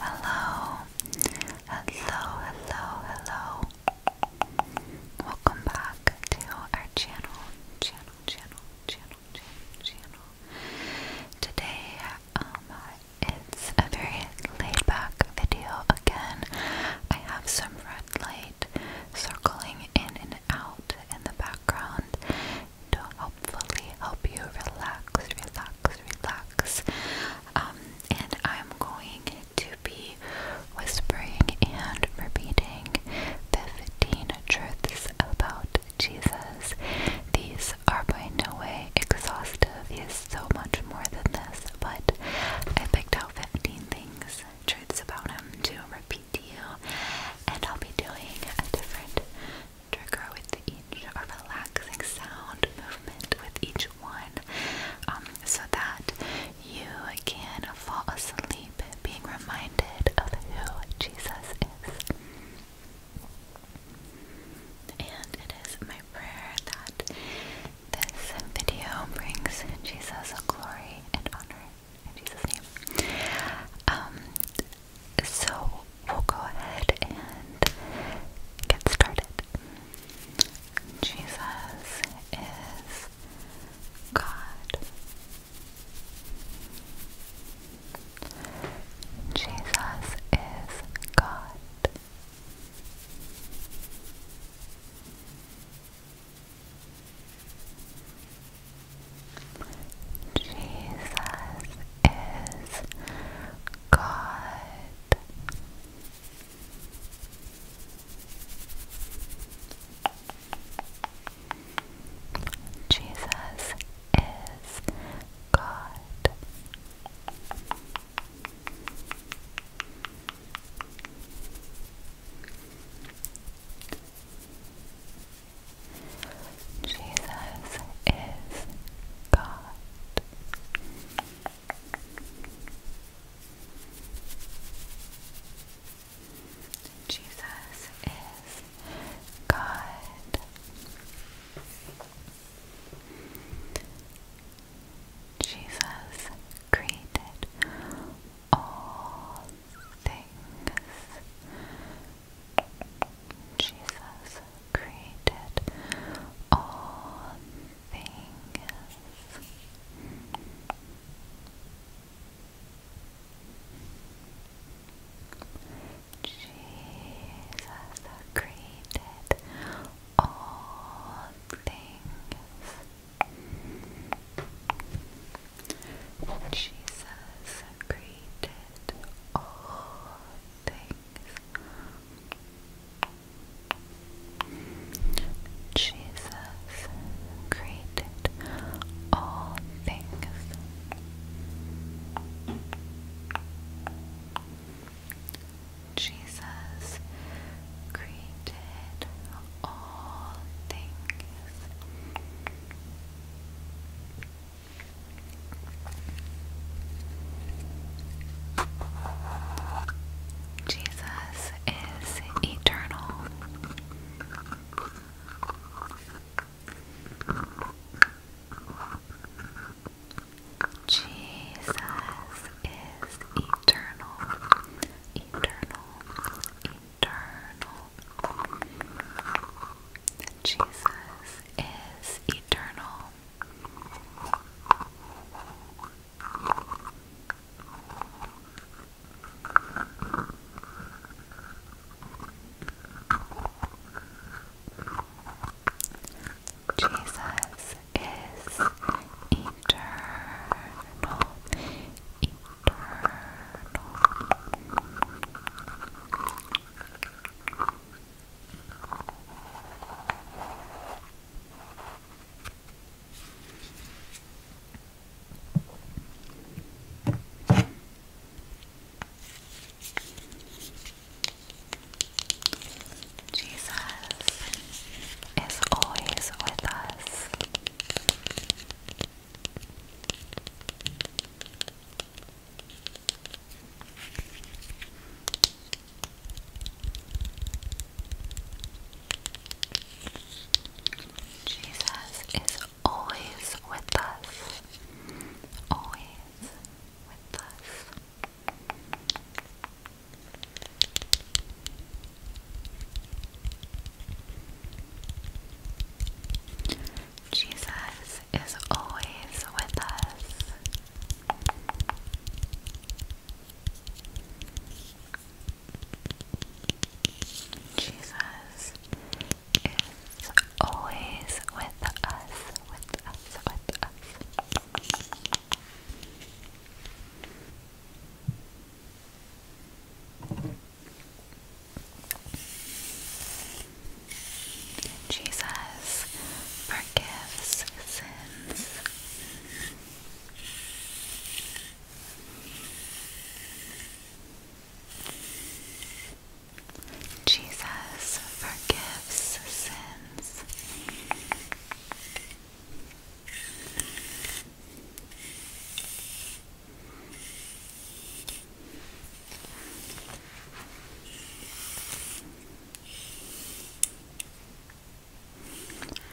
Hello, hello, hello, hello. Welcome back to our channel, channel, channel, channel, channel, channel. Today, um, it's a very laid back video again. I have some red light circling in and out in the background, to hopefully help you relax, relax, relax. Um, and I'm going to be whispering and repeating 15 truths about Jesus. These are by no way exhaustive, he so much more than this, but I picked out 15 things, truths about him to repeat to you, and I'll be doing a different trigger with each or relaxing sound movement with each one um, so that you can fall asleep being reminded of who Jesus is. And it is my prayer that this video brings Jesus glory and honor in Jesus' name. Um, so we'll go ahead and get started. Jesus is God. Jesus is God. Jesus is God. Jesus is God. Jesus is God. Jesus is God. Jesus created all things. Jesus created all things. Jesus created all things. Jesus created all things. Jesus created all things. Jesus created all things. Jesus is eternal. Jesus is eternal, eternal, eternal. Jesus is eternal. Jesus is eternal, eternal. Jesus is always with us. Jesus is always with us, always with us. Jesus is always with us. Jesus is always with us, Jesus forgives sins. Jesus forgives sins.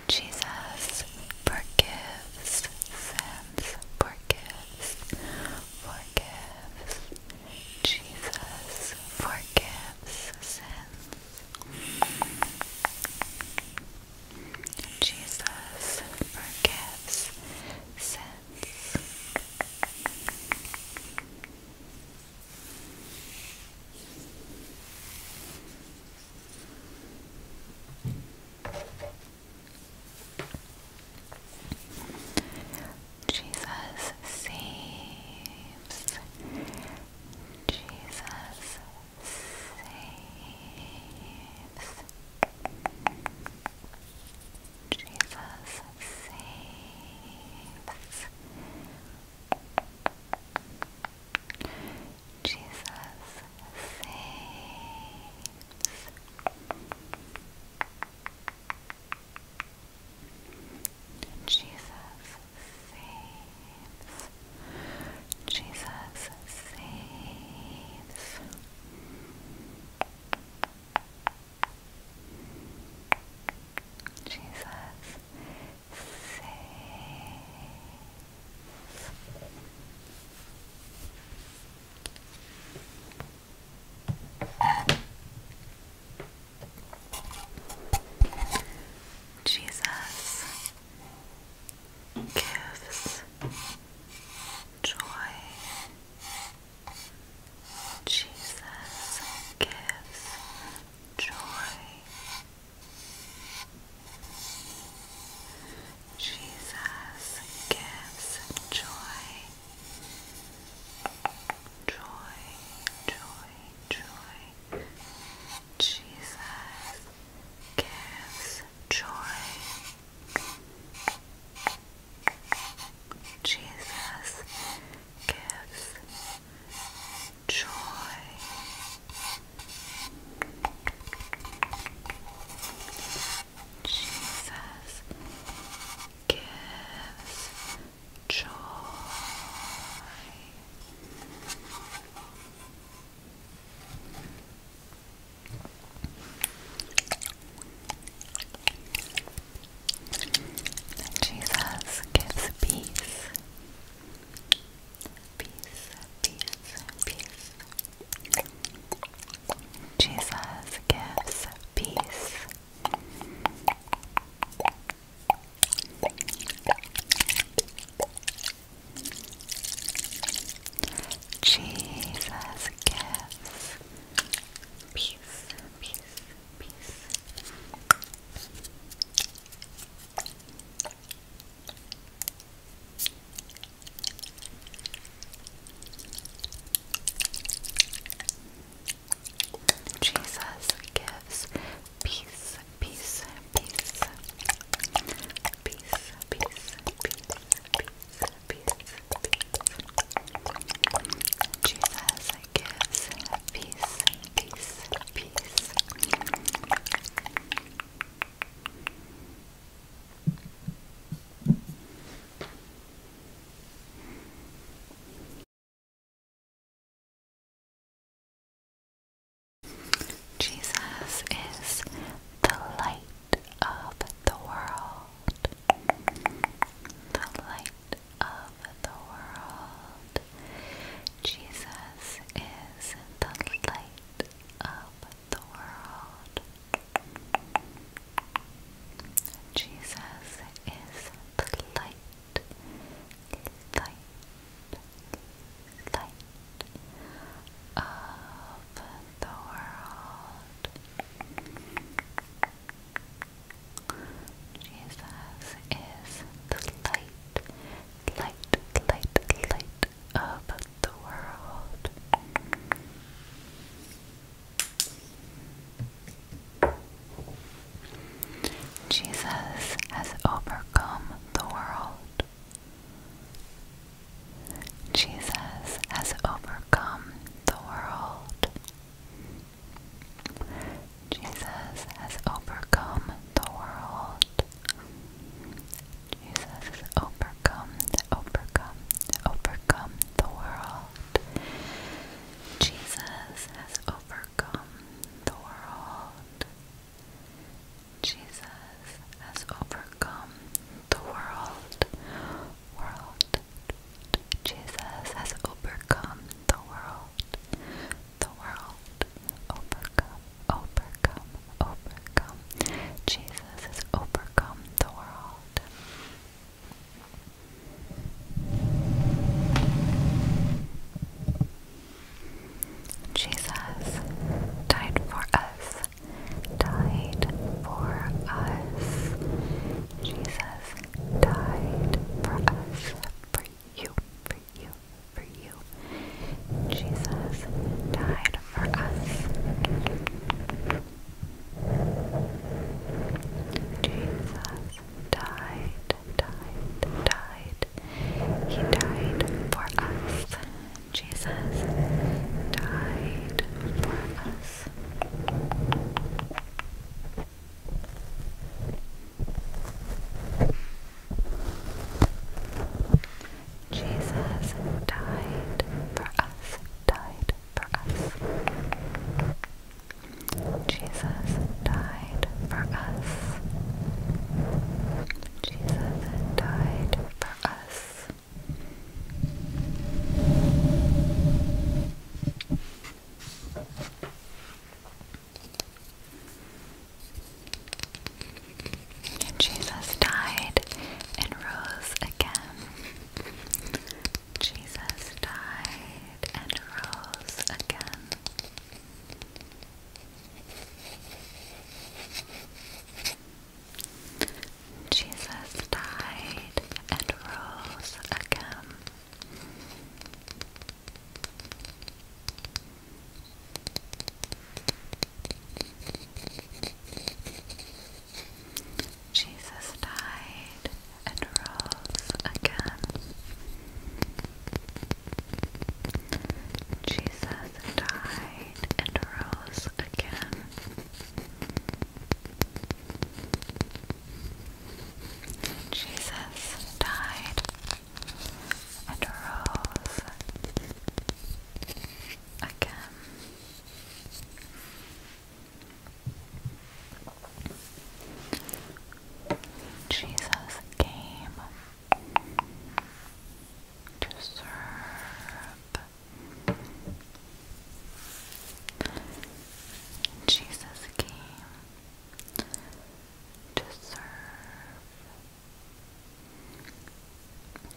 Jesus forgives sins, forgives, forgives. Jesus forgives sins. Jesus forgives sins. Jesus saves. Jesus saves. Jesus saves. Jesus saves. Jesus saves. Jesus saves. Jesus saves. Jesus gives joy. Jesus gives joy. Jesus gives joy. Joy, joy, joy. Jesus gives joy. Jesus gives joy. Jesus gives joy. Jesus gives peace. Peace, peace, peace. Jesus gives peace. Jesus gives peace, peace, peace. Jesus gives peace, peace, peace, peace, peace, peace, peace, peace, peace. Jesus gives peace, peace, peace. Jesus is the light of the world. The light of the world. Jesus is the light of the world. Jesus is the light, light, light of the world. Jesus is the light, light, light, light of the world. Jesus has overcome the world. Jesus has overcome the world. Jesus has overcome the world. Jesus overcome, overcome, overcome the world. Jesus has overcome the world. Jesus has overcome the world, world. Jesus has overcome the world, the world. Overcome, overcome, overcome. Jesus has overcome the world. Jesus died for us died for us. Jesus died for us, for you, for you, for you. Jesus died for us. Jesus died, died, died. He died for us. Jesus died for us. Jesus died for us, died for us. Jesus died for us. Jesus died for us. Jesus died and rose again. Jesus died and rose again. Jesus died and rose again. Jesus died and rose again. Jesus died and rose again. Jesus died and rose again. Jesus came to serve Jesus came to serve.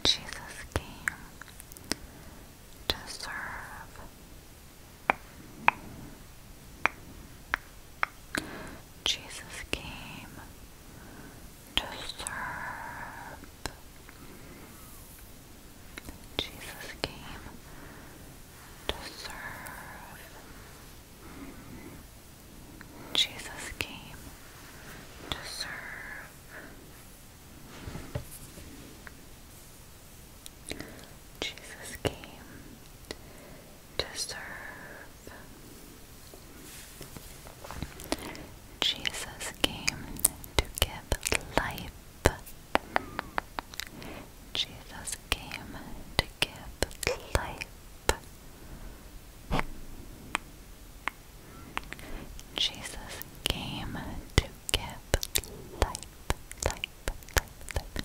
Jesus came to serve. Jesus came to serve. Jesus came to serve. Jesus came to serve. Jesus came to serve. Jesus came to give life. Jesus came to give life. Jesus came to give life, life, life, life.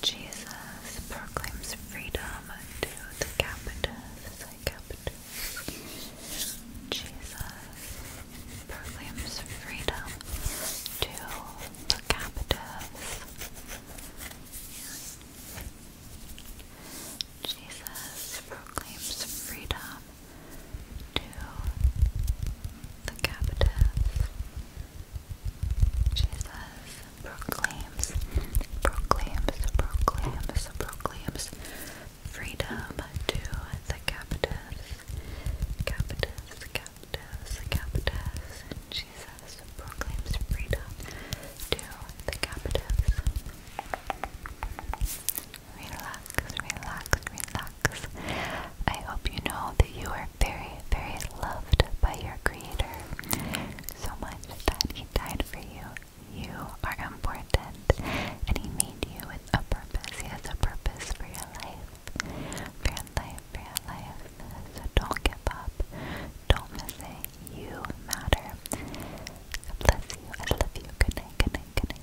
Jesus proclaims freedom to the captives. Jesus proclaims freedom to the captives. Jesus proclaims freedom to the captives. Jesus proclaims, proclaims, proclaims, proclaims freedom to the captives, captives, captives, captives. And Jesus proclaims freedom to the captives. Relax, relax, relax. I hope you know that you are very, very loved by your Creator so much that he died for you. You are important, and he made you with a purpose. He has a purpose for your life, for your life, for your life. So don't give up. Don't miss You matter. bless you. I love you. Good night. Good night. Good night.